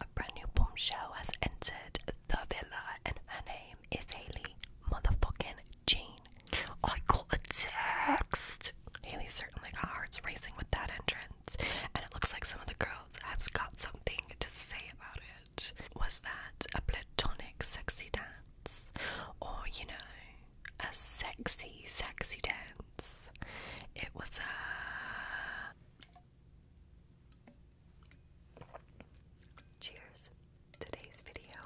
A brand new bombshell has entered the villa, and her name is Haley motherfucking Jean. I got a text. Haley certainly got hearts racing with that entrance, and it looks like some of the girls have got something to say about it. Was that a platonic sexy dance? Or, you know, a sexy, sexy dance? It was a. Cheers! Today's video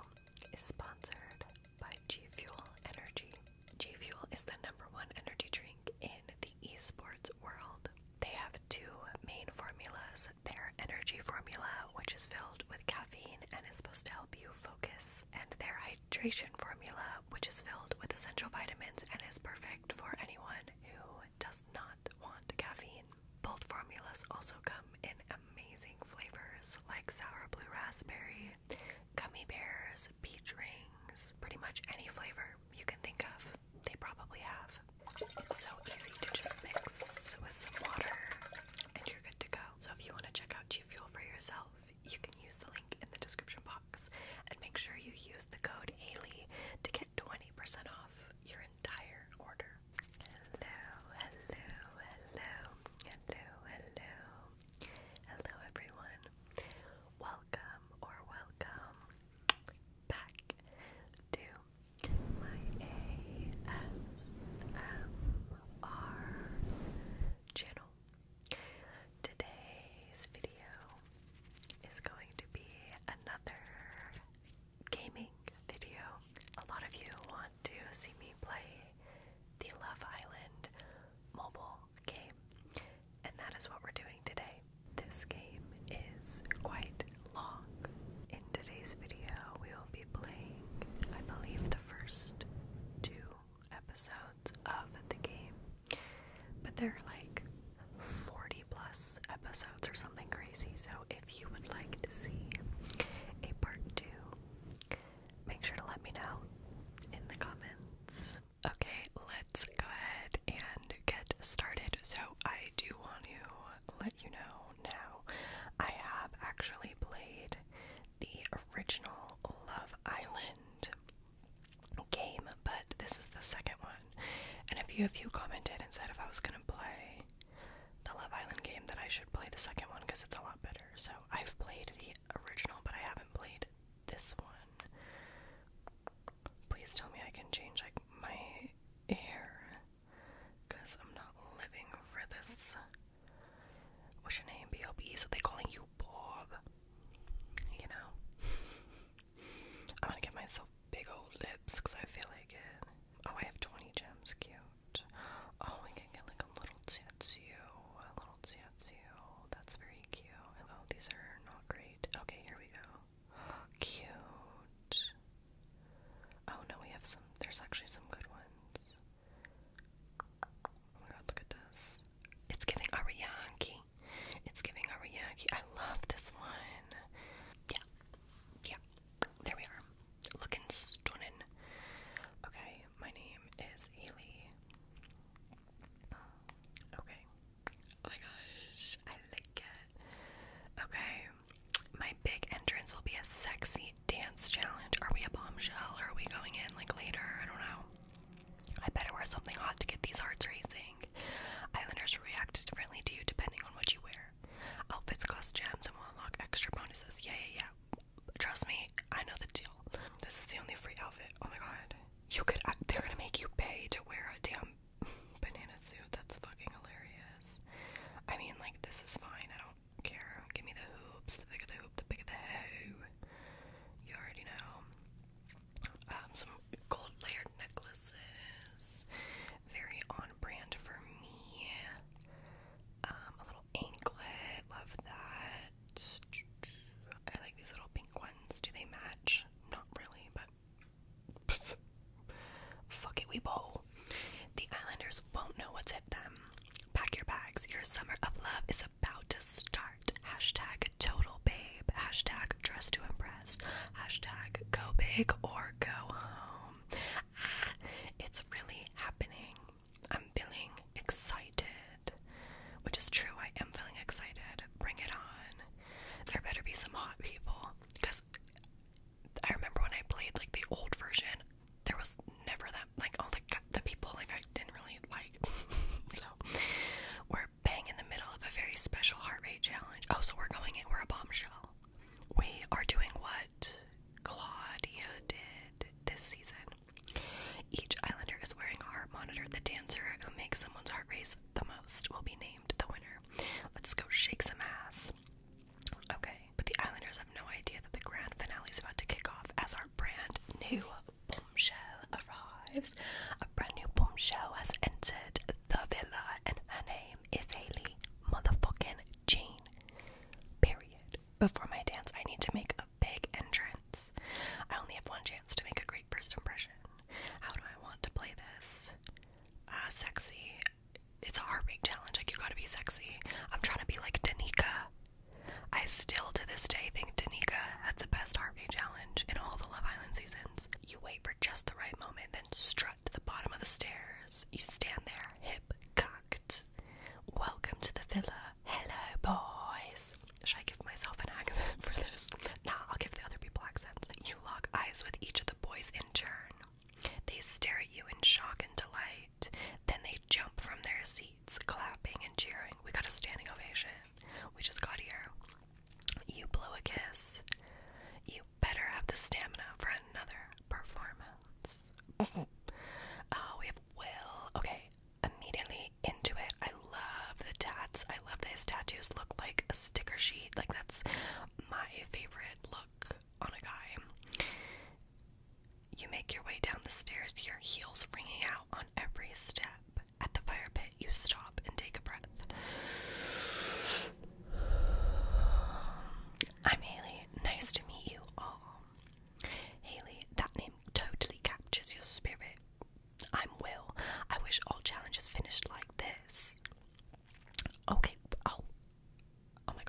is sponsored by G Fuel Energy. G Fuel is the number one energy drink in the esports world. They have two main formulas their energy formula, which is filled with caffeine and is supposed to help you focus, and their hydration formula, which is filled with essential vitamins and is perfect for anyone who does not want caffeine. Both formulas also come in amazing flavors like sour blue raspberry, gummy bears, peach rings, pretty much any flavor you can think of, they probably have. It's so easy to just mix with some water and you're good to go. So if you want to check out G Fuel for yourself, you can use the link in the description box and make sure you use the code Haley to get 20% 20% off your entire order. Hello, hello, hello, hello, hello. Hello, everyone. Welcome or welcome back to my ASMR channel. Today's video is going to be another gaming video. A lot of you want to see me play the Love Island mobile game, and that is what we're doing today. This game is quite long. In today's video, we will be playing, I believe, the first two episodes of the game. But there are like 40 plus episodes or something crazy. So if you would like to see a part two, make sure to let me know in the comments. Okay, let's go ahead and get started. So I do want to let you know now I have actually played the original Love Island game, but this is the second one. And if you if you commented and said if I was gonna play the Love Island game, that I should play the second one because it's a lot better. So I've played the original, but I haven't played this one. Please tell me I can change like my hair, cause I'm not living for this. What's your name, B.O.B.? So they calling you Bob. You know. I'm gonna get myself big old lips because I feel like it. Oh, I have 20 gems. Cute. Oh, we can get like a little tattoo. A little tattoo. That's very cute. Oh, these are not great. Okay, here we go. Cute. Oh no, we have some. There's actually some good ones. Oh my god, look at this. It's giving Arianki. It's giving Ariake. I love this one. Yeah. Yeah. There we are. Looking stunning. Okay, my name is Haley. Okay. Oh my gosh. I like it. Okay. My big entrance will be a sexy dance challenge. Are we a bombshell or are we going in like later? I don't know. I better wear something hot to get these hearts racing clothing. Islanders react differently to you depending on what you wear. Outfits cost gems and will unlock extra bonuses. Yeah, yeah, yeah. Trust me, I know the deal. This is the only free outfit. Oh my god. You could, uh, they're gonna make you pay to wear a damn banana suit. That's fucking hilarious. I mean, like, this is fine. I don't care. Give me the hoops. The bigger the hoop, the bigger the hoe. You already know. Um, some gold layered necklaces, very on brand for me. Um, a little anklet, love that. I like these little pink ones. Do they match? Not really, but fuck it, we bowl. The Islanders won't know what's hit them. Pack your bags. Your summer of love is about to start. Hashtag total babe. Hashtag dress to impress. Hashtag go big or go home. Ah, it's really happening. I'm feeling excited. Which is true, I am feeling excited. Bring it on. There better be some hot people. Because I remember when I played like the old version, there was never that, like, all the, the people, like, I didn't really like. so, we we're bang in the middle of a very special heart rate challenge. Oh, so we're going in, we're a bombshell. We are doing what Claudia did this season. Each islander is wearing a heart monitor. The dancer who makes someone's heart race the most will be named the winner. Let's go shake some ass. Okay, but the islanders have no idea that the grand finale is about to kick off as our brand new bombshell arrives a brand new bombshell has entered the villa, and her name is Haley motherfucking Jean. Period. Before my dance, I need to make a big entrance. I only have one chance to make a great first impression. How do I want to play this? Uh, sexy. It's a heartbreak challenge. Like, you gotta be sexy. I'm trying to be like Danica. I still to this day think Danica had the best heartbeat challenge in all the Love Island seasons. You wait for just the right moment, then strut to the bottom of the stairs. You stand there, hip cocked. Welcome to the villa. Hello, boys. Should I give myself an accent for this? Nah, I'll give the other people accents. You lock eyes with each of the boys in turn. They stare at you in shock and delight. Then they jump from their seats, clapping and cheering. We got a standing ovation. We just got here. You blow a kiss. You you better have the stamina for another performance. oh, we have Will. Okay, immediately into it. I love the tats. I love these tattoos look like a sticker sheet. Like that's my favorite look on a guy. You make your way down the stairs, your heels ringing out on every step. At the fire pit, you stop and take a breath. I'm Haley. Nice to meet you all. Haley, that name totally captures your spirit. I'm Will. I wish all challenges finished like this. Okay. Oh. Oh my god.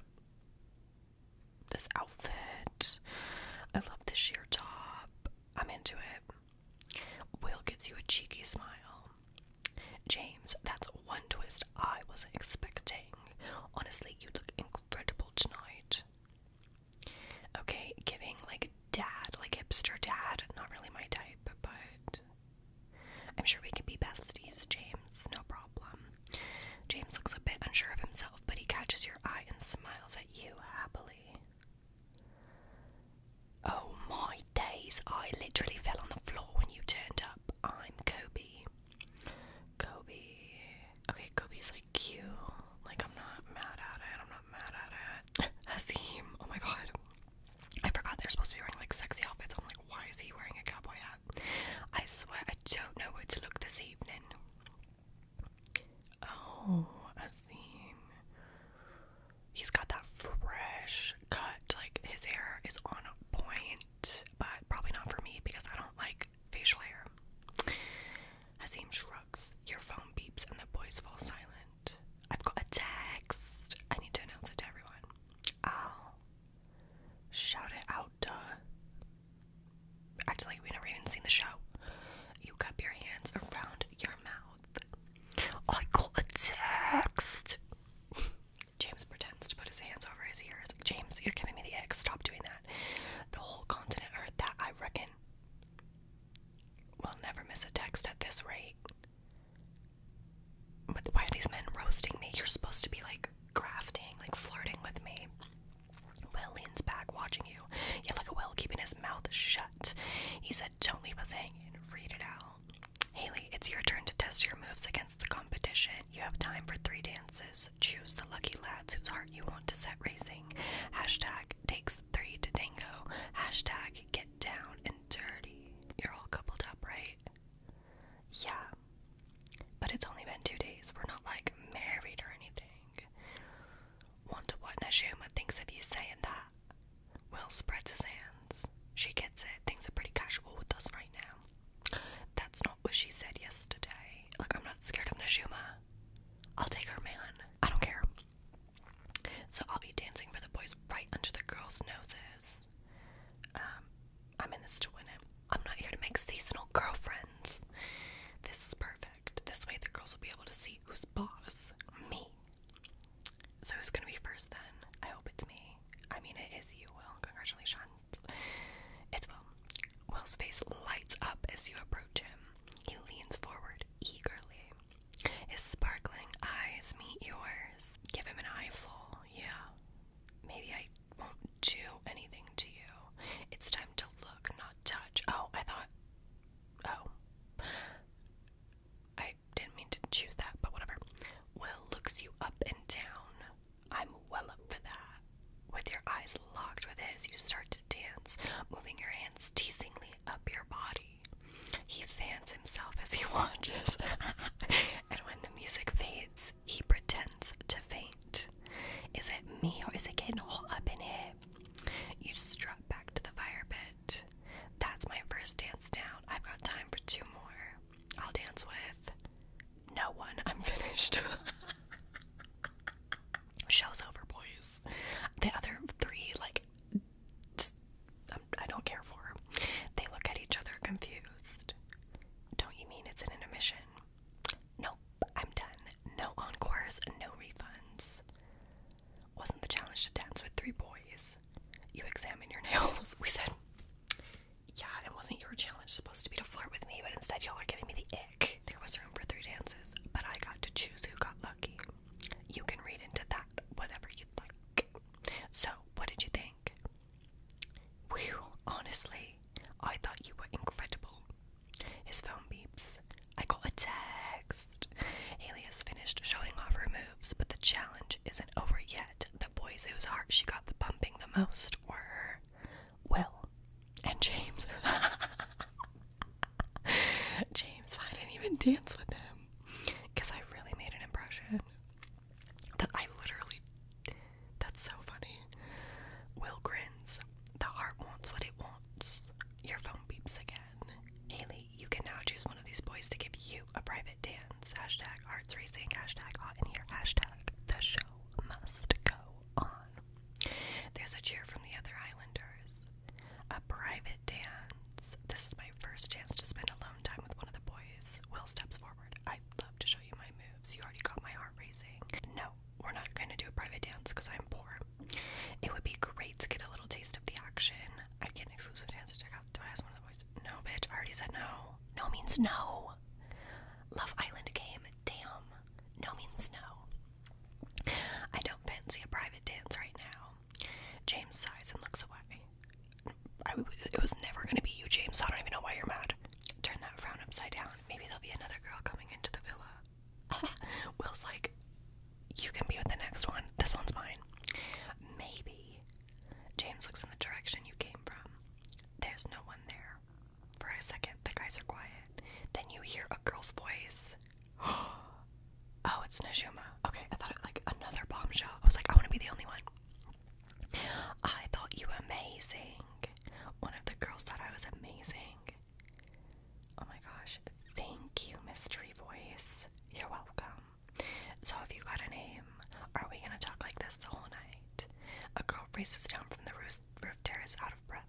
This outfit. I love this sheer top. I'm into it. Will gives you a cheeky smile. James, that's one twist I wasn't expecting. Honestly, you look incredible tonight. Okay, giving like dad, like hipster dad, not really my type, but I'm sure we can be besties, James, no problem. James looks a bit unsure of himself, but he catches your eye and smiles at you happily. Oh my days, I literally fell on the floor when you turned up. I'm Kobe. Kobe. Okay, Kobe's like cute. Like, I'm not mad at it. I'm not mad at it. Hasim. Oh my god. I forgot they're supposed to be wearing like sexy outfits. I'm like, why is he wearing a cowboy hat? I swear I don't know where to look this evening. Oh, Hasim he's got that fresh cut. Like his hair is on point, but probably not for me because I don't like facial hair. Hasim shrugs. Your phone beeps and the boys fall silent. I've got a text. I need to announce it to everyone. I'll shout it out. Duh. Act like we never even seen the show. You cup your hands around your mouth. I got a text. James pretends to put his hands over his ears. James, you're giving me the X. Stop doing that. The whole continent heard that, I reckon. We'll never miss a text at this rate. But why are these men roasting me? You're supposed to be like grafting, like flirting with me. Will leans back, watching you. Yeah, look at Will keeping his mouth shut. He said. Don't leave us hanging. Read it out. Haley, it's your turn to test your moves against the competition. You have time for three dances. Choose the lucky lads whose heart you want to set racing. Hashtag takes three to tango. Hashtag get down and dirty. You're all coupled up, right? Yeah. But it's only been two days. We're not like married or anything. Want to what Nashuma thinks of you saying that? Will spreads his hands. She gets it. Things are pretty casual with us right now. That's not what she said yesterday. Look, I'm not scared of Nishuma. I'll take her man. I don't care. So I'll be dancing for the boys right under the girls' noses. Um, I'm in this to win it. I'm not here to make seasonal girlfriends. This is perfect. This way the girls will be able to see who's boss. Me. So who's gonna be first then? I hope it's me. I mean, it is you, Will. Congratulations. It's Will. Will's face lights up as you approach him. He leans forward eagerly. His sparkling eyes meet yours. Give him an eyeful. Yeah. Maybe I won't do anything to you. It's time to look, not touch. Oh, I thought. Oh. I didn't mean to choose that, but whatever. Will looks you up and down. I'm well up for that. With your eyes locked with his, you start to dance, moving your hands teasingly up your body. He fans himself as he watches, and when the music fades, he pretends to faint. Is it me or is it getting hot up in here? You strut back to the fire pit. That's my first dance down. I've got time for two more. I'll dance with no one. I'm finished. Show's over, boys. The other three, like, um, I do not care for. They look at each other confused. Don't you mean it's an intermission? Nope, I'm done. No encores, no refunds. Wasn't the challenge to dance with three boys? you examine your nails. We said, yeah, it wasn't your challenge supposed to be to flirt with me, but instead y'all are giving me the ick. There was room for three dances, but I got to choose who got lucky. You can read into that whatever you'd like. So, what did you think? Whew, honestly, I thought you were incredible. His phone beeps. I got a text. Haley finished showing off her moves but the challenge isn't over yet. The boys whose hearts she got the pumping the most were her, Will and James. James, I didn't even dance with him because I really made an impression that I literally. That's so funny. Will grins. The heart wants what it wants. Your phone beeps again. Haley, you can now choose one of these boys to give you a private dance. Hashtag arts racing, hashtag the show must go on. There's a cheer from the other islanders. A private dance. This is my first chance to spend alone time with one of the boys. Will steps forward. I'd love to show you my moves. You already got my heart racing. No, we're not going to do a private dance because I'm poor. It would be great to get a little taste of the action. I'd get an exclusive chance to check out do I ask one of the boys? No, bitch. I already said no. No means no. Love Island game. Damn. No means no. I don't fancy a private dance right now. James sighs and looks away. it was never going to be you, James, I don't even know why you're mad. Turn that frown upside down. Maybe there'll be another girl coming into the villa. Will's like, You can be with the next one. This one's mine. Maybe James looks in the direction you came from. There's no one there. For a second, the guys are quiet. Then you hear a girl's voice. oh, it's Najuma. Okay, I thought it was like another bombshell. I was like, I want to be the only one. I thought you amazing. One of the girls thought I was amazing. Oh my gosh. Thank you, mystery voice. You're welcome. So have you got a name? Are we gonna talk like this the whole night? A girl races down from the roof, terrace out of breath.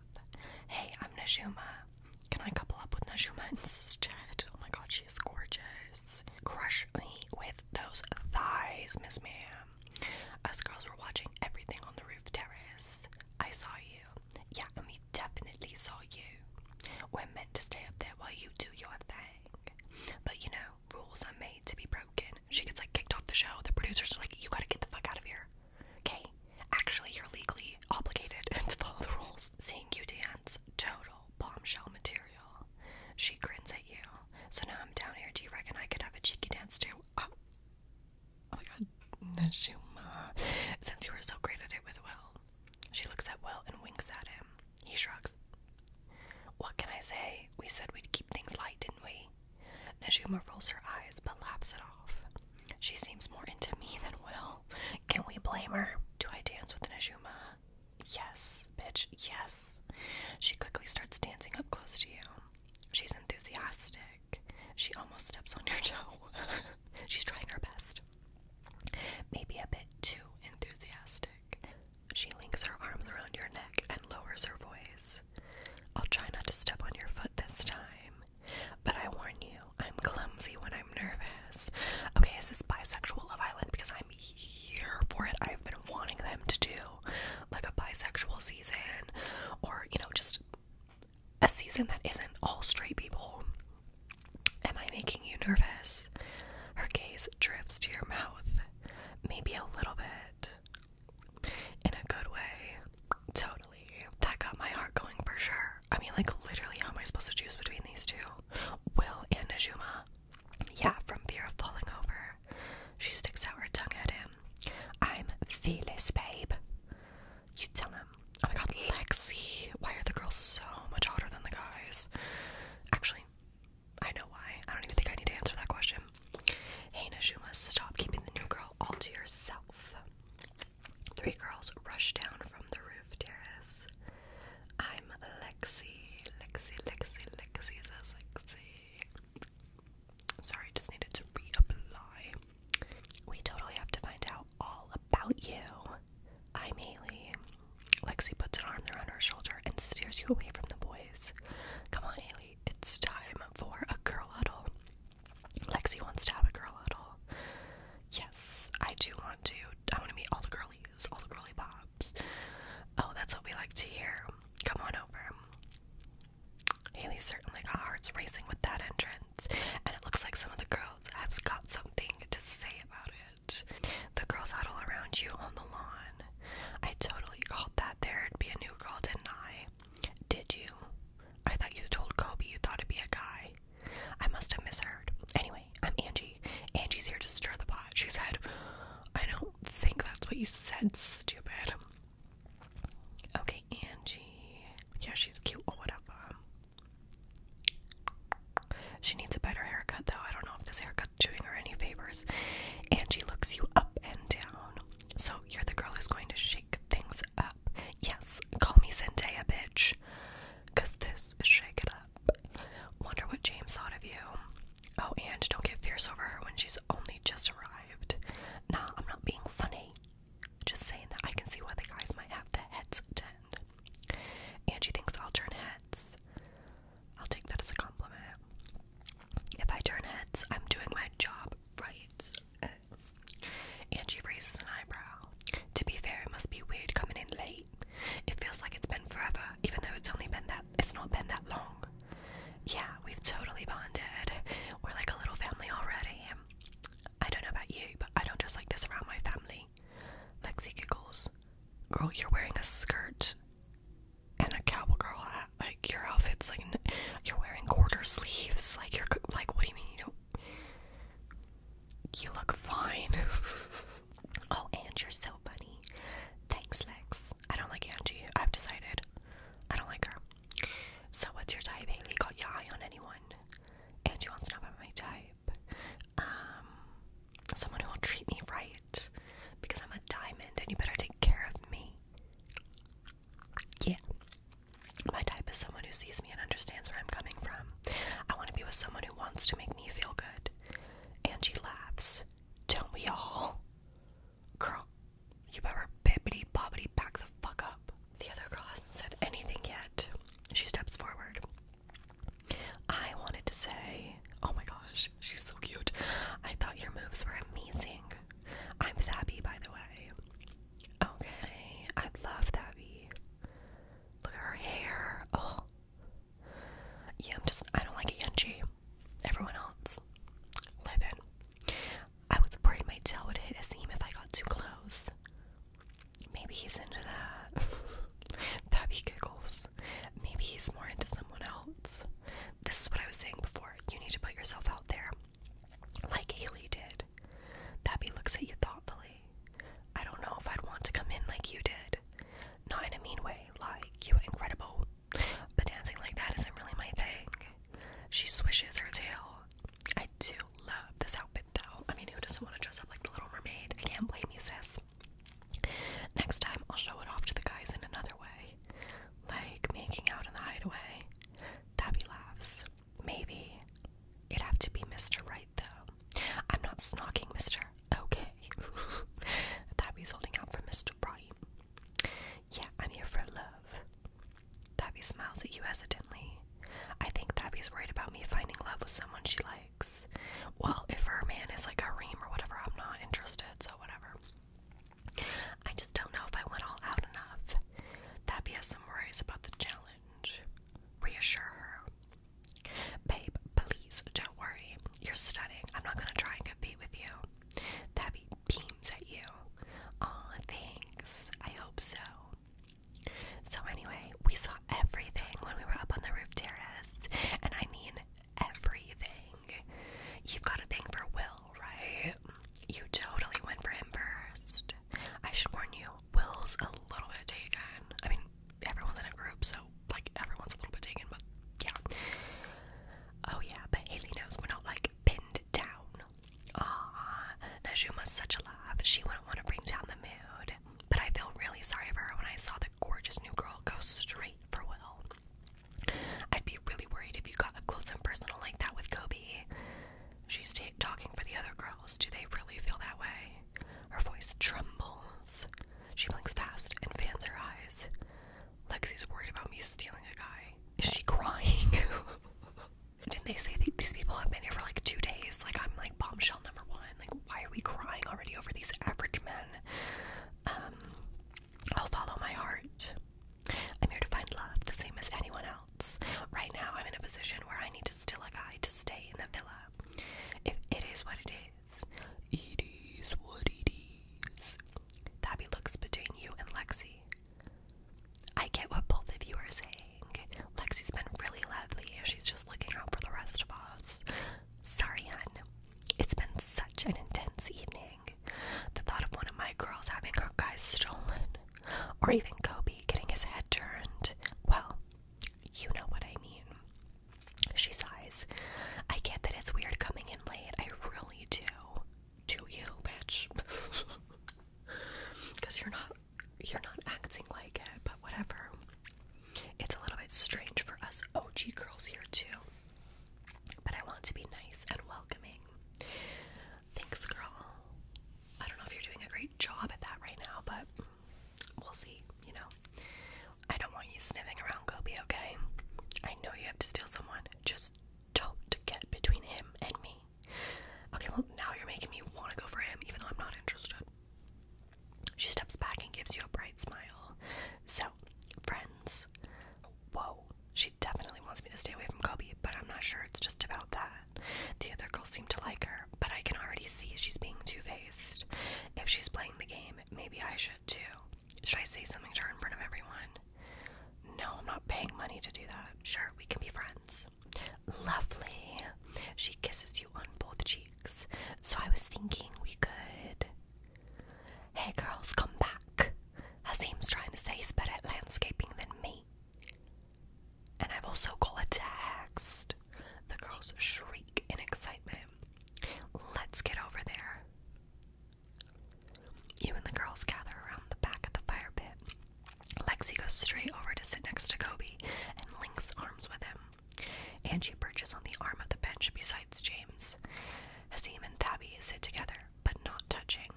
Hey, I'm Najuma. Can I couple up with Najuma instead? Oh my god, she's gorgeous. Crush me with those thighs, Miss Ma'am. Us girls were watching everything on the roof terrace. I saw you. Yeah, we definitely saw you. We're meant to stay up there while you do your thing. But you know, rules are made to be broken. She gets like kicked off the show. The producers are like, you gotta get the fuck out of here. Okay? Actually, you're legally obligated to follow the rules. Seeing you dance, total bombshell material. She grins at you. So now I'm down here. Do you reckon I could have a cheeky dance too? Oh, oh my god, Najuma. Since you were so great at it with Will. She looks at Will and winks at him. He shrugs. What can I say? We said we'd keep things light, didn't we? Najuma rolls her eyes but laughs it off. She seems more into me than Will. Can we blame her? Do I dance with Najuma? Yes, bitch, yes. She quickly starts dancing up close to you. She's enthusiastic. She almost steps on your toe. She's trying her best. Maybe a bit too enthusiastic. She links her arms around your neck and lowers her voice. I'll try not to step on your foot this time, but I warn you, I'm clumsy when I'm nervous. Okay, is this bisexual Love Island? Because I'm here for it. I've been wanting them to do like a bisexual season or, you know, just a season that isn't all straight people. Am I making you nervous? Her gaze drifts to your mouth maybe a little bit in a good way. Totally. That got my heart going for sure. I mean, like, literally, how am I supposed to choose between these two? Will and Ajuma. Yeah, from fear of falling over. She sticks out her tongue at him. I'm fearless, babe. You tell him. Oh my god, Lexi. Why are the girls so much hotter than the guys? Actually, I know why. I don't even think I need to answer that question. You must stop keeping the new girl all to yourself. Three girls rush down from the roof terrace. I'm Lexi. Lexi, Lexi, Lexi, this sexy. Sorry, just needed to reapply. We totally have to find out all about you. I'm Haley. Lexi puts an arm around her shoulder and steers you away from the boys. Come on, Haley, it's time for a girl huddle. Lexi wants to have a girl huddle. Yes, I do want to. I want to meet all the girlies, all the girly pops. Oh, that's what we like to hear. Come on over. Haley certainly got hearts racing with that entrance, and it looks like some of the girls have got something to say about it. The girls all around you on the lawn. I totally called that there'd be a new girl, didn't I? Did you? I thought you told Kobe you thought it'd be a guy. I must have misheard. Anyway, I'm Angie. Angie's here to stir the pot. She said, I don't think that's what you said, stupid. Okay, Angie. Yeah, she's cute or whatever. She needs a better haircut, though. I don't know if this haircut doing her any favors. Angie looks you up and down. So you're the girl who's going to shake things up. Yes, call me Zendaya, bitch. Because this is Shake It Up. Wonder what James thought of you. Oh, Angie, don't get fierce over her when she's only just arrived. Nah, I'm not being funny. Just saying that I can see why the guys might have their heads turned. Angie thinks I'll turn heads. I'll take that as a compliment. If I turn heads, I'm doing my job right. Angie raises an eyebrow. To be fair, it must be weird coming in late. It feels like it's been forever, even though it's only been that it's not been that long. Yeah, we've totally bonded. We're like a little family already. I don't know about you, but I don't just like this around my family. Lexi giggles. Girl, you're wearing a skirt and a cowboy girl Like your outfit's like you're wearing quarter sleeves. Like you're like, what do you mean you don't? You look fine. oh, and you're so funny. Thanks, Lex. I don't like Angie. I've decided. I don't like her. So what's your type? Haley got your eye on anyone? Angie wants to know about my type. Um, someone who will treat me right because I'm a diamond and you better take care of me. Yeah. My type is someone who sees me and understands where I'm coming from. I want to be with someone who wants to make me feel good. Angie laughs. Don't we all? Girl, you better bippity bobbity back the fuck up. The other girl hasn't said anything yet. She steps forward. I wanted to say, oh my gosh, she's so cute. I thought your moves were amazing. I'm Thabby, by the way. Okay, I love Thabby. Look at her hair. Oh. Yeah, I'm just, I don't like Angie. Everyone else. Live I was afraid my tail would hit a seam if I got too close. Maybe he's into that. Tabby giggles. Maybe he's more into someone else. This is what I was saying before. You need to put yourself out there. Like Ailey did. Tabby looks at you thoughtfully. I don't know if I'd want to come in like you did. Not in a mean way, like you incredible. But dancing like that isn't really my thing. She swishes her tail. I do love this outfit though. I mean, who doesn't want to dress up like the Little Mermaid? I can't blame you, sis. Next time, I'll show it off to the guys in another way, like making out in the hideaway. Tabby laughs. Maybe. It'd have to be Mr. Right, though. I'm not snogging, Mr. Okay. Tabby's holding out for Mr. Right. Yeah, I'm here for love. Tabby smiles at you hesitantly. I think Tabby's worried about me finding love with someone she likes. Well, if her man is like a ream or whatever, I'm not interested so whatever. I just don't know if I went all out enough. That has some worries about the challenge. Reassure her. Babe, please don't worry. You're studying. I'm not gonna try and compete with you. Tabby beams at you. Aw, thanks. I hope so. So anyway, we saw everything when we were up on the roof terrace, and I mean everything. You've got a thing for Will, right? You totally went for him first. I should warn you, Will's a little bit taken. I mean, everyone's in a group, so like everyone's a little bit taken, but yeah. Oh yeah, but Haley knows we're not like pinned down. Aw, Najuma's such a love. She wouldn't want to bring down the mood. But I feel really sorry for her when I saw the gorgeous new girl, goes straight for Will. I'd be really worried if you got up close and personal like that with Kobe. She's talking for the other girls. Do they really feel that way? Her voice trembles. She blinks fast and fans her eyes. Lexi's worried about me stealing a guy. Is she crying? Didn't they say these people have been here for like two days? Like, I'm like bombshell number one. Like, why are we crying already over these average men? Um, I'll follow my heart. I'm here to find love, the same as anyone else. Right now, I'm in a position where I need to steal a guy to stay in the villa. If it is what it is, it is what it is. Tabby looks between you and Lexi. I get what both of you are saying. Lexi's been really lovely. She's just looking out for the rest of us. Sorry, hun. It's been such an intense evening. The thought of one of my girls having her guys stolen, or even Kobe getting his head turned, well, you know what I mean. She sighs. I get that it's weird coming in late. I really do. Do you, bitch? Because you're not you're not acting like it, but whatever. It's a little bit strange for us OG girls here too. But I want to be nice and welcoming. Thanks, girl. I don't know if you're doing a great job at that right now, but we'll see, you know. I don't want you sniffing around Kobe, okay? I know you have to steal someone. Just don't get between him and me. Okay, well, now you're making me want to go for him, even though I'm not interested. She steps back and gives you a bright smile. So, friends, Whoa, she definitely wants me to stay away from Kobe, but I'm not sure it's just about that. The other girls seem to like her, but I can already see she's being two faced. If she's playing the game, maybe I should too. Should I say something to her in front of everyone? No, I'm not paying money to do that. Sure, we can be friends. Lovely. She kisses you on both cheeks. So I was thinking we could. Hey girls, come back. Asim's trying to say he's better at landscaping than me. And I've also got a text. The girls shriek in excitement. Let's get over there. You and the girls gather around the back of the fire pit. Lexi goes straight over to sit next to Kobe and links arms with him. and she perches on the arm of the bench beside James. Prince. and Thabi sit together, but not touching.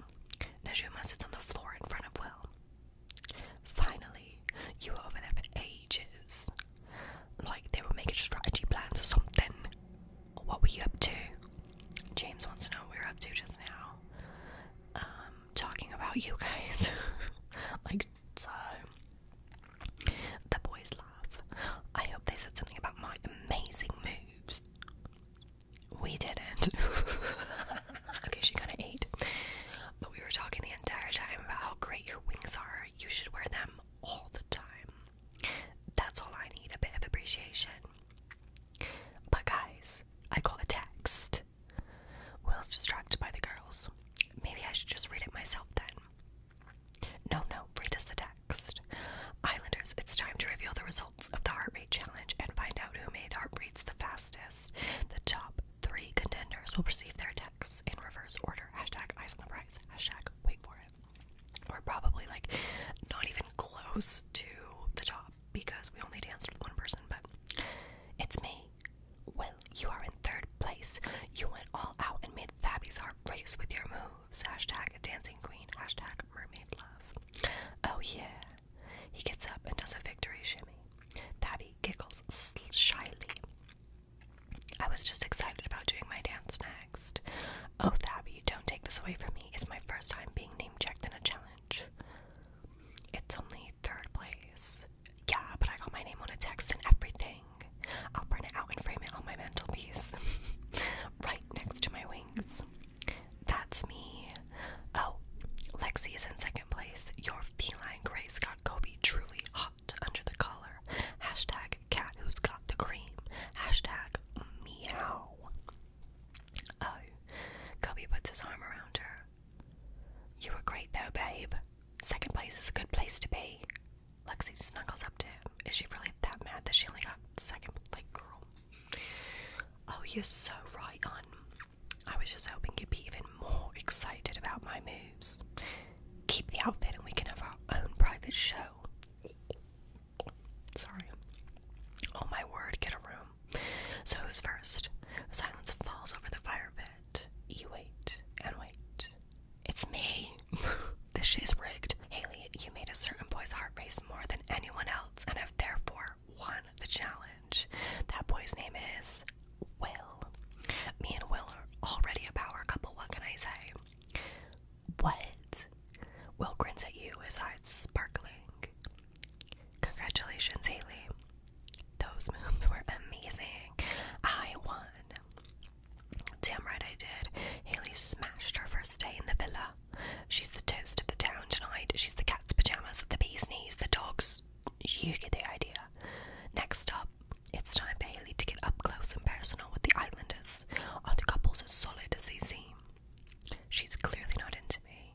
Najuma sits on the floor in front of Will. Finally, you were over there for ages. Like they were making strategy plans or something. What were you up to? James wants to know what we were up to just now. Um, talking about you guys. like, so. The boys laugh. I hope they said something about my amazing moves. We didn't. okay, she kind of ate. But we were talking the entire time about how great your wings are. You should wear them all the time. That's all I need a bit of appreciation. But, guys, I got a text. Will's distracted by the girls. Maybe I should just read it myself then. No, no, read us the text. Islanders, it's time to reveal the results of the heart rate challenge and find out who made heart rates the fastest. The top three contenders will receive their texts in reverse order. Hashtag eyes on the prize. Hashtag wait for it. We're probably like not even close to the top because we only danced with one person, but it's me. Well, you are in third place. You went all out and made Fabby's heart race with your move. Hashtag dancing queen. Hashtag mermaid love. Oh yeah. He gets up and does a victory shimmy. Tabby giggles shyly. I was just excited about doing my dance next. Oh, Thabby, don't take this away from me. It's my first time being name checked in a challenge. It's only third place. Yeah, but I got my name on a text and everything. I'll print it out and frame it on my mantelpiece right next to my wings. That's me. Oh, Lexi is in second place. Your feline grace got Kobe truly hot under the collar. Hashtag cat who's got the cream. Hashtag meow. Oh, Kobe puts his arm around her. You were great though, babe. Second place is a good place to be. Lexi snuggles up to him. Is she really that mad that she only got second? place, girl. Oh, you're so right on. I was just hoping you'd be even more excited about my moves. Keep the outfit and we can have our own private show. Sorry. Oh my word, get a room. So who's first? Silence falls over the fire pit. You wait and wait it's me. this is rigged. Haley, you made a certain boy's heart race more than anyone else and have therefore won the challenge. That boy's name is Will. Me and Will are already a power couple, what can I say? What? Will grins at you, his eyes sparkling. Congratulations, Haley. Those moves were amazing. I won. Damn right I did. Haley smashed her first day in the villa. She's the toast of the town tonight. She's the cat's pajamas, the bee's knees, the dog's. You get the idea. Next up, it's time Haley to get up close and personal with the islanders. Are the couples as solid as they seem? She's clearly not into me.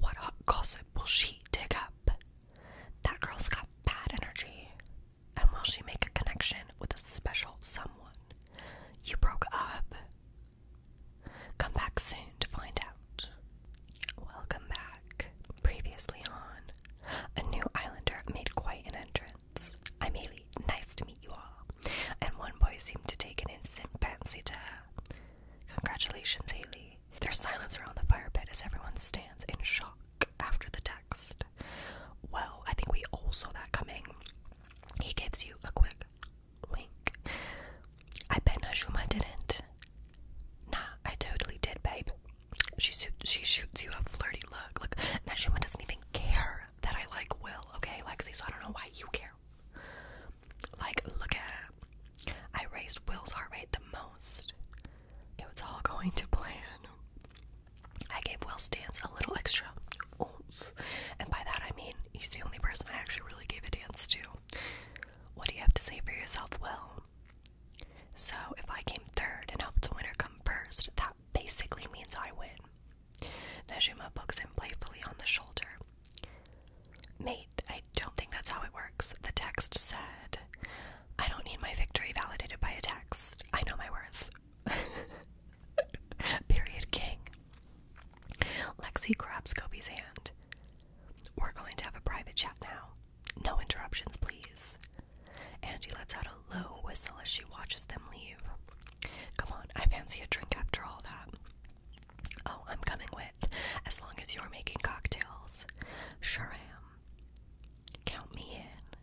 What hot gossip will she dig up? That girl's got bad energy. And will she make a connection with a special someone? You broke up. Come back soon to find out. Welcome back. Previously on, a new islander made quite an entrance. I'm Ailey, nice to meet you all. And one boy seemed to take an instant fancy to her. Congratulations, Ailey. There's silence around the fire pit as everyone stands in shock after the text. Well, I think we all saw that coming. He gives you a quick wink. I bet Najuma didn't. Nah, I totally did, babe. She shoots you a flirty look. Look, Najuma doesn't even care that I like Will, okay, Lexi? So I don't know why you care. Like, look at her. I raised Will's heart rate the most. It was all going to plan. I gave Wells' dance a little extra and by that I mean he's the only person I actually really gave a dance to. What do you have to say for yourself, Will? So if I came third and helped the winner come first, that basically means I win. Najuma pokes him playfully on the shoulder. Mate, I don't think that's how it works. The text said, I don't need my victory validated by a text. I know my worth. Period king. Lexi grabs Kobe's hand. We're going to have a private chat now. No interruptions, please. Angie lets out a low whistle as she watches them leave. Come on, I fancy a drink after all that. Oh, I'm coming with, as long as you're making cocktails. Sure I am. Count me in.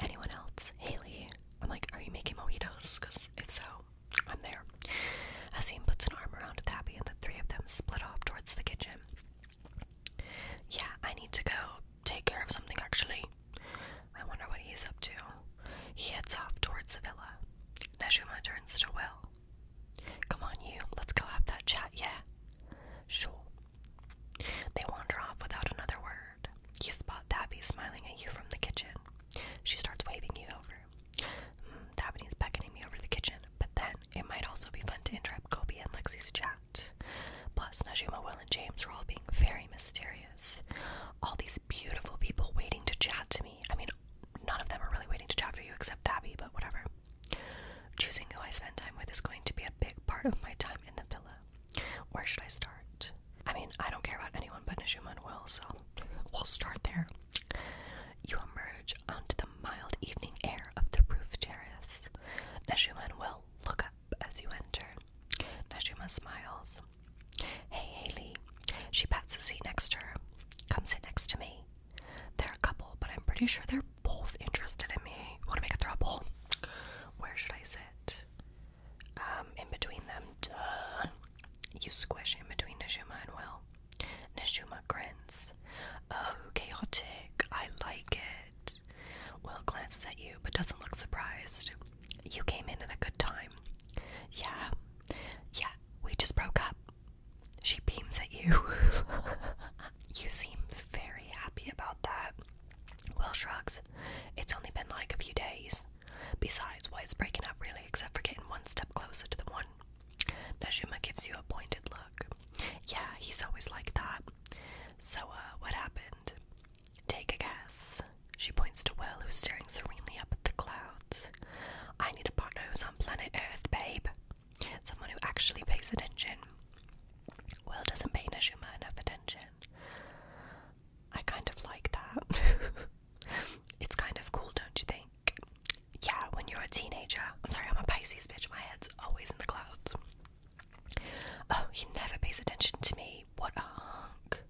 Anyone else? Haley. I'm like, are you making mojitos? Because if so, I'm there. Asim puts an arm around Abby, and the three of them split off towards the kitchen. Yeah, I need to go take care of something actually. I wonder what he's up to. He heads off towards the villa. Najuma turns to Will. Come on, you, let's go have that chat, yeah? Sure. They wander off without another word. You spot Tabby smiling at you from the kitchen. She starts waving you over. Mm, is beckoning me over to the kitchen, but then it might also be fun to interrupt Kobe and Lexi's chat. Plus, Najima, Will, and James are all being very mysterious. All these beautiful people waiting to chat to me. I mean, none of them are really waiting to chat for you except Tabby, but whatever. Choosing who I spend time with is going to be a big part of my time in the villa. Where should I start? I mean, I don't care about anyone but Nishuman will, so we'll start there. You emerge onto the mild evening air of the roof terrace. Neshuman will look up as you enter. Neshuma smiles. Hey, Haley. She pats a seat next to her. Come sit next to me. They're a couple, but I'm pretty sure they're both interested in me. Want to make a throuble? Where should I sit? Um, in between them. Duh. You squish in between Nishuma and Will. Nishuma grins. Oh, chaotic. I like it. Will glances at you but doesn't look surprised. You came in at a good time. Yeah. Yeah, we just broke up. She beams at you. you seem very happy about that. Will shrugs. It's only been like a few days. Besides, why is breaking up really except for getting one step closer to the one? Najima gives you a pointed look. Yeah, he's always like that. So, uh, what happened? Take a guess. She points to Will, who's staring serenely up at the clouds. I need a partner who's on planet Earth, babe. Someone who actually pays attention. Will doesn't pay Najima enough attention. I kind of like that. it's kind of cool, don't you think? Yeah, when you're a teenager. I'm sorry, I'm a Pisces bitch. My head's always in the clouds. Oh, he never pays attention to me. What a hunk.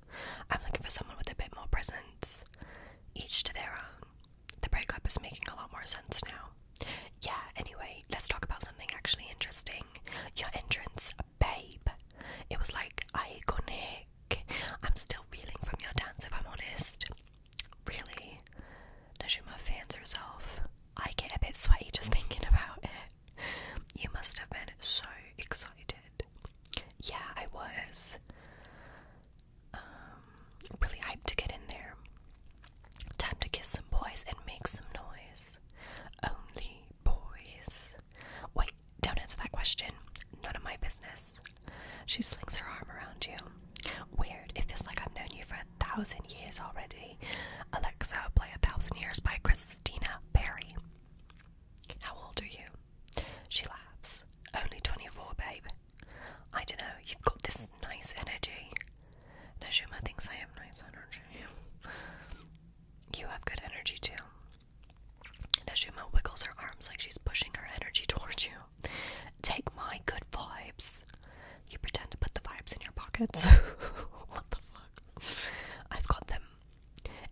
I'm looking for someone with a bit more presence. Each to their own. The breakup is making a lot more sense now. Yeah, anyway, let's talk about something actually interesting. Your entrance babe. It was like iconic. I'm still reeling from your dance, if I'm honest. Really? Najuma fans herself. I get a bit sweaty just thinking about it. You must have been so excited. Yeah, I was. Um, really hyped to get in there. Time to kiss some boys and make some noise. Only boys. Wait, don't answer that question. None of my business. She slings her arm around you. Weird. It feels like I've known you for a thousand years already. Alexa, play A Thousand Years by Christina Perry. How old are you? She laughs. Only 24, babe. I don't know. You've got this nice energy. Nashuma thinks I have nice energy. You have good energy too. Najuma wiggles her arms like she's pushing her energy towards you. Take my good vibes. You pretend to put the vibes in your pockets. what the fuck? I've got them.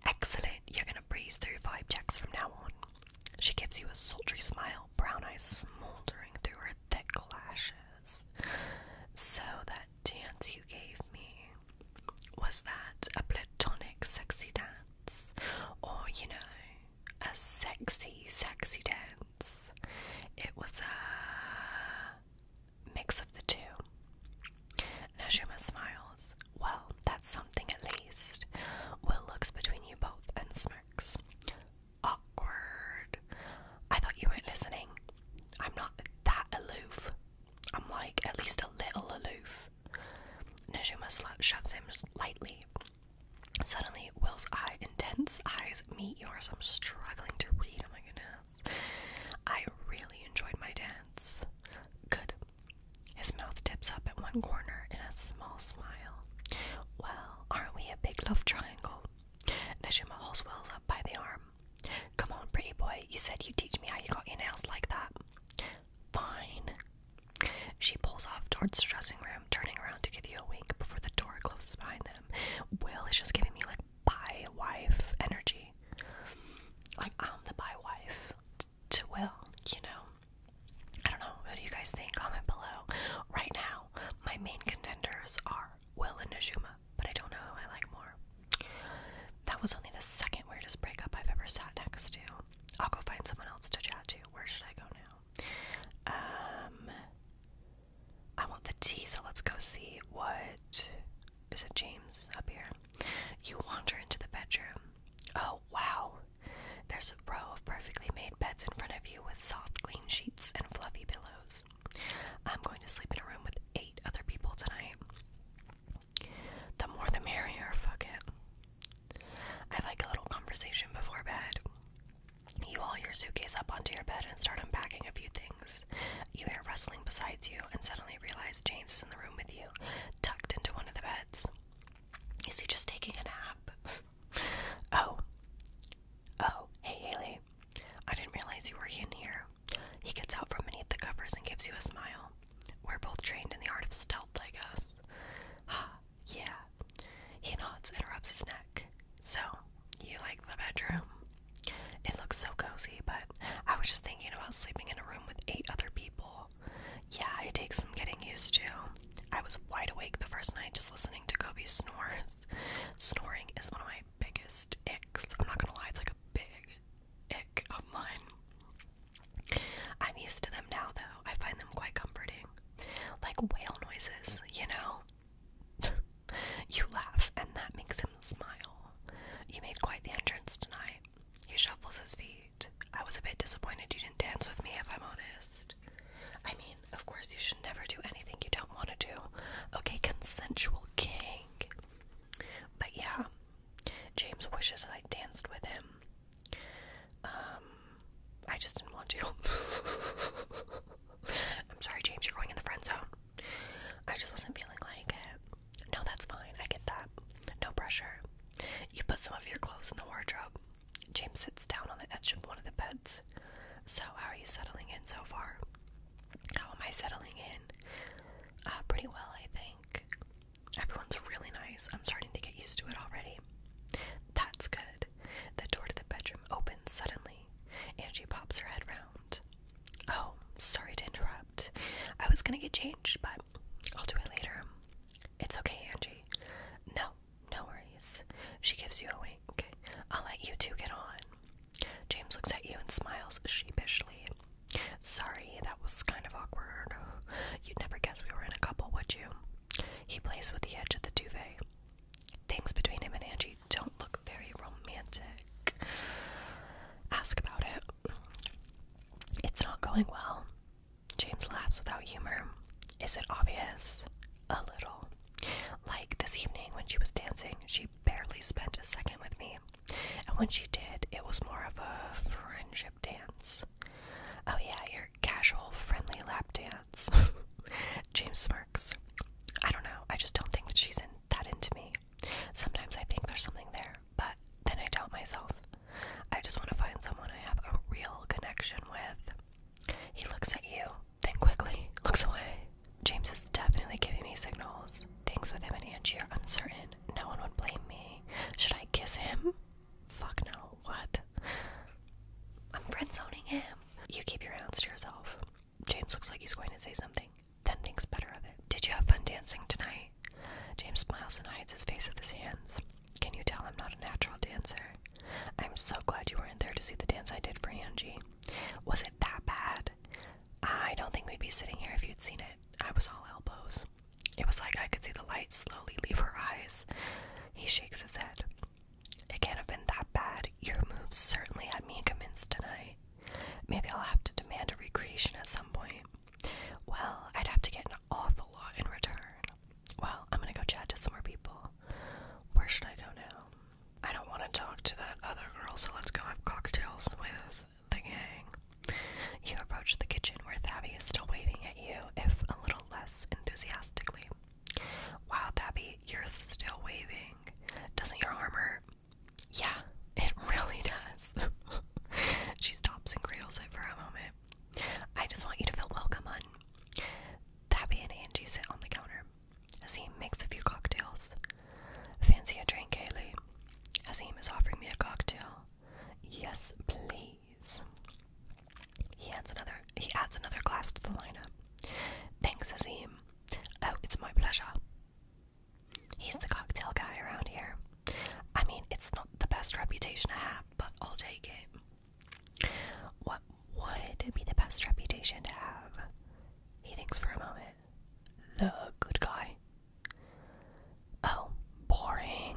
Excellent. You're gonna breeze through vibe checks from now on. She gives you a sultry smile, brown eyes smoldering through her thick lashes. So that dance you gave me was that a platonic sexy dance or, you know, a sexy, sexy dance? It was a mix of the two. Najima smiles. Well, that's something at least. Will looks between you both and smirks. Awkward. I thought you weren't listening. I'm not that aloof. I'm like at least a little aloof. Najuma shoves him lightly. Suddenly, Will's eye, intense eyes meet yours. I'm struggling to read. Oh my goodness. I really enjoyed my dance. Good. His mouth tips up at one corner in a small smile. Well, aren't we a big love triangle? Najuma holds Will up by the arm. Come on, pretty boy. You said you'd teach me how you got your nails like that. Fine. She pulls off towards the dressing room, turning around to give you a wink before the door closes behind them. Will is just giving me like by wife energy. Like I'm the by wife to Will, you know. I don't know. What do you guys think? Comment below. Right now, my main contenders are Will and Najuma, but I don't know who I like more. That was only the second weirdest breakup I've ever sat next to. I'll go find someone else to chat to. Where should I go now? Um, I want the tea, so let's go see what is it, James, up here? You wander into the bedroom. Oh, wow. There's a row of perfectly made beds in front of you with soft, clean sheets and fluffy pillows. I'm going to sleep in a room with eight other people tonight. The more the merrier, fuck it. I like a little conversation before bed. You haul your suitcase up onto your bed and start unpacking a few things. You hear rustling beside you and suddenly realize James is in the room with you, tucked into one of the beds. Is he just taking a nap? oh. Oh, hey Haley. I didn't realize you were in here. He gets out from beneath the covers and gives you a smile. We're both trained in the art of stealth, I guess. Ah, yeah. He nods and rubs his neck. So, you like the bedroom? It looks so cozy, but I was just thinking about sleeping in a room with eight other people. Yeah, it takes some getting used to. I was wide awake the first night just listening to Kobe snores. Snoring is one of my biggest icks. I'm not gonna lie, it's like a big ick of mine. I'm used to them now, though. I find them quite comforting. Like whale noises, you know? you laugh, and that makes him smile. You made quite the entrance tonight. He shuffles his feet. I was a bit disappointed you didn't dance with me, if I'm honest. I mean, of course, you should never do anything you don't want to do. Okay, consensual king. But yeah, James wishes I danced with him. Um, I just didn't want to. I'm sorry, James, you're going in the friend zone. I just wasn't feeling like it. No, that's fine. I get that. No pressure. You put some of your clothes in the wardrobe. James sits down on the edge of one of the beds. So, how are you settling in so far? How am I settling in? Uh, pretty well, I think. Everyone's really nice. I'm starting to get used to it already. That's good. The door to the bedroom opens suddenly. Angie pops her head round. Oh, sorry to interrupt. I was gonna get changed, but I'll do it later. It's okay, Angie. No, no worries. She gives you a wink. I'll let you two get on. James looks at you and smiles sheepishly. Sorry, that was kind of awkward. You'd never guess we were in a couple, would you? He plays with the edge of the duvet. Things between him and Angie don't look very romantic. Ask about it. It's not going well. James laughs without humor. Is it obvious? A little. Like this evening when she was dancing, she barely spent a second with me. And when she did, it was more of a friendship dance. Oh, yeah, your casual, friendly lap dance. James smirks. I don't know, I just don't think that she's that into me. Sometimes I think there's something there, but then I doubt myself. I just want to find someone I have a real connection with. He looks at you, then quickly looks away. James is definitely giving me signals. Things with him and Angie are uncertain, no one would blame me. Should I kiss him? Fuck no. What? I'm friend zoning him. You keep your hands to yourself. James looks like he's going to say something, then thinks better of it. Did you have fun dancing tonight? James smiles and hides his face with his hands. Can you tell I'm not a natural dancer? I'm so glad you were in there to see the dance I did for Angie. Was it that bad? I don't think we'd be sitting here if you'd seen it. I was all elbows. It was like I could see the light slowly leave her eyes. He shakes his head. It can't have been that bad. Your moves certainly had me convinced tonight. Maybe I'll have to demand a recreation at some point. Well, I'd have to get an awful lot in return. Well, I'm gonna go chat to some more people. Where should I go now? I don't want to talk to that other girl, so let's go have cocktails with the gang. You approach the kitchen where Thabi is still waving at you, if a little less enthusiastically. Wow, Thabi, you're still waving. Doesn't your armor? Yeah, it really does. she stops and cradles it for a moment. I just want you to feel welcome, hun. Thabi and Angie sit on the counter as he makes a few cocktails. Fancy a drink, Kaylee? Azim is offering me a cocktail. Yes, please. He adds another he adds another glass to the lineup. Thanks, Azim. Oh, it's my pleasure. He's the cocktail guy around here. I mean, it's not the best reputation to have, but I'll take it. What would be the best reputation to have? He thinks for a moment. The good guy. Oh, boring.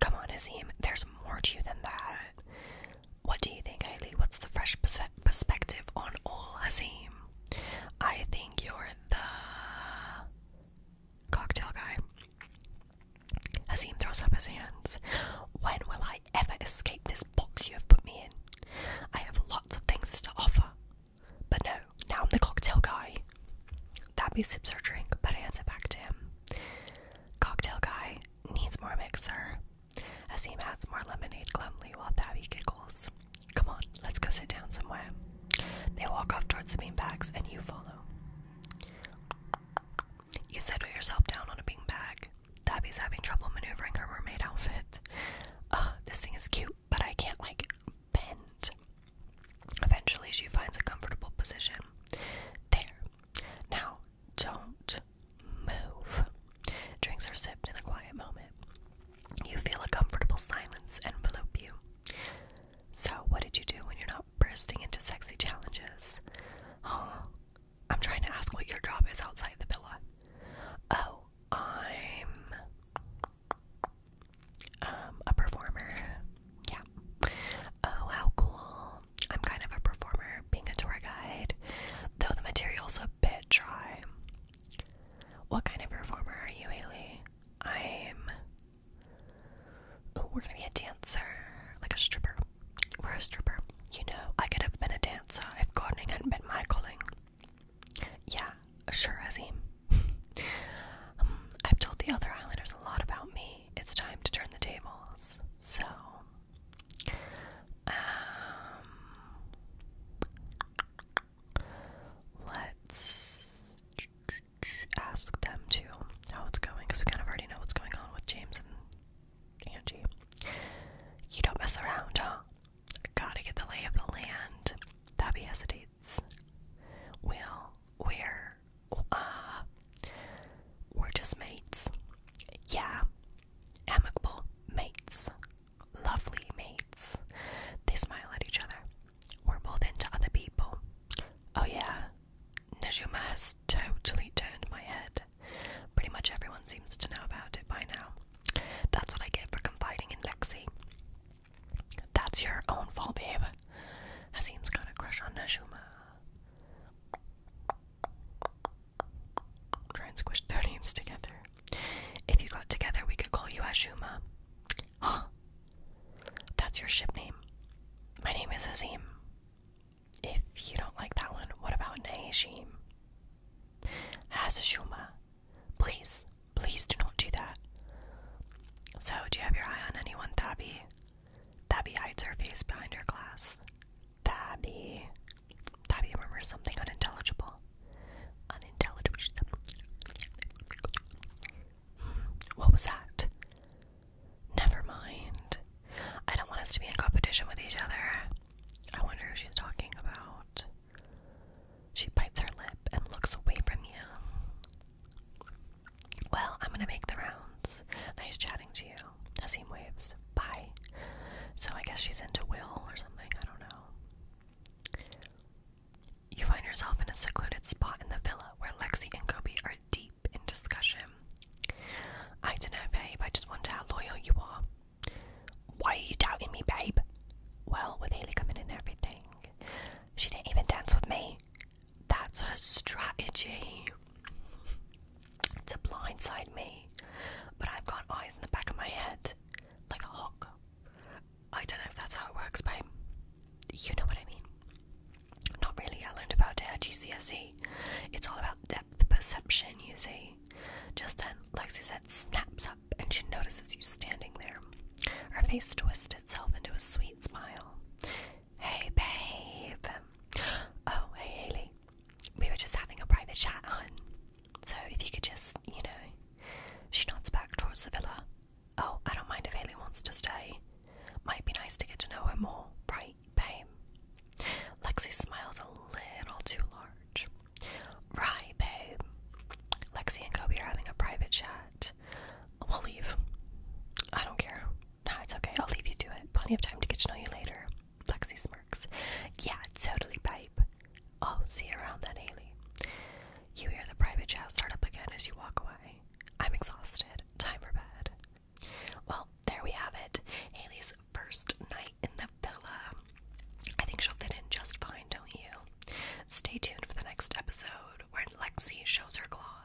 Come on, Hazim. There's more to you than that. What do you think, Hailey? What's the fresh perspective on all Hazim? I think you're the cocktail guy. Hazim throws up his hands. When will I ever escape this box you have put me in? I have lots of things to offer. But no, now I'm the cocktail guy. That Tabby sips her drink, but hands it back to him. Cocktail guy needs more mixer. As he adds more lemonade glumly while Tabby giggles. Come on, let's go sit down somewhere. They walk off towards the bean bags, and you follow. You settle yourself down on a bean bag. Tabby's having trouble maneuvering her mermaid outfit. Uh, this thing is cute, but I can't like it. Eventually, she finds a comfortable position. There. Now, don't move. Drinks are sipped in a quiet moment. You feel a comfortable silence envelope you. So, what did you do when you're not bursting into sexy challenges? Huh? I'm trying to ask what your job is outside the villa. Oh, I'm um, a performer. Yeah. Oh, how cool. I'm kind of a performer being a tour guide, though the material's a bit dry. What kind of performer are you, Haley? I'm. Oh, we're gonna be a dancer, like a stripper. We're a stripper. You know, I could have been a dancer if gardening hadn't been my calling. Yeah, sure, Azim. Um, I've told the other Highlanders a lot about me. It's time to turn the tables. So, um, let's ask them to how it's going because we kind of already know what's going on with James and Angie. You don't mess around, huh? Gotta get the lay of the land. That Tabby hesitates. Well, we're we're uh, we're just mates. Yeah, amicable mates, lovely mates. They smile at each other. We're both into other people. Oh yeah, Najuma has totally turned my head. Pretty much everyone seems to know about it by now. That's what I get for confiding in Lexi. That's your own fault, babe. Hasim's got a crush on Najuma. Try and squish their names together. If you got together, we could call you Ashuma. Huh? That's your ship name. My name is Hazim. If you don't like that one, what about Naishim? Hazashuma. Please, Please do not do that. So, do you have your eye on anyone, Tabby? Tabby hides her face behind her glass. Tabby. Tabby murmurs something unintelligible. Unintelligible. Hmm, what was that? Never mind. I don't want us to be in competition with each other. I wonder who she's talking about. She bites her lip and looks away from you. Well, I'm gonna make the rounds. Nice chatting to you. Nassim waves. Bye. So I guess she's into Will or something. I don't know. You find yourself in a secluded spot in the villa where Lexi and Kobe are deep in discussion. I don't know, babe. I just wonder how loyal you are. Why are you doubting me, babe? Well, with Haley coming in and everything, she didn't even dance with me. That's her strategy to blindside me. But I've got eyes in the back of my head, like a hawk. I don't know if that's how it works, babe. You know what I mean. Not really, I learned about it at GCSE. It's all about depth perception, you see. Just then, Lexi said snaps up and she notices you standing there. Her face twisted itself into a sweet smile. Hey, babe. Oh, hey, Haley. We were just having a private chat, hun. So if you could just, you know. She nods back towards the villa. Oh, I don't mind if Haley wants to stay. Might be nice to get to know her more, right, babe? Lexi smiles a little too large. Right, babe. Lexi and Kobe are having a private chat. We'll leave. I don't care. Nah, it's okay. I'll leave you to it. Plenty of time to get to know you later. Lexi smirks. Yeah, totally, babe. Oh, see you around then, Haley. You hear the private chat start up again as you walk away. I'm exhausted. Time for bed. Well, there we have it. Haley's first night in the villa. I think she'll fit in just fine, don't you? Stay tuned for the next episode when Lexi shows her claws.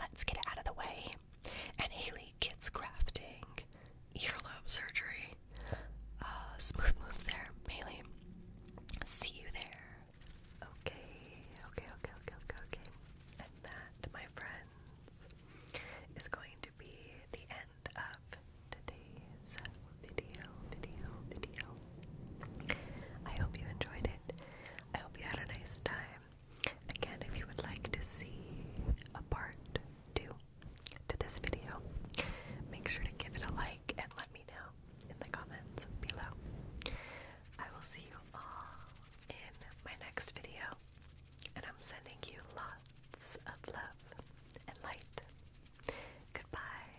Let's get it out of the way. And Haley gets grafting, earlobe surgery. Uh, smooth moves there, Haley. See you there. okay, okay, okay, okay, okay. And that, my friends, is going to be the end of today's video, video, video. I hope you enjoyed it. I hope you had a nice time. Again, if you would like to see a part two to this video, make sure to give it a like and let me know in the comments below. I will see you all in my next video, and I'm sending you lots of love and light. Goodbye.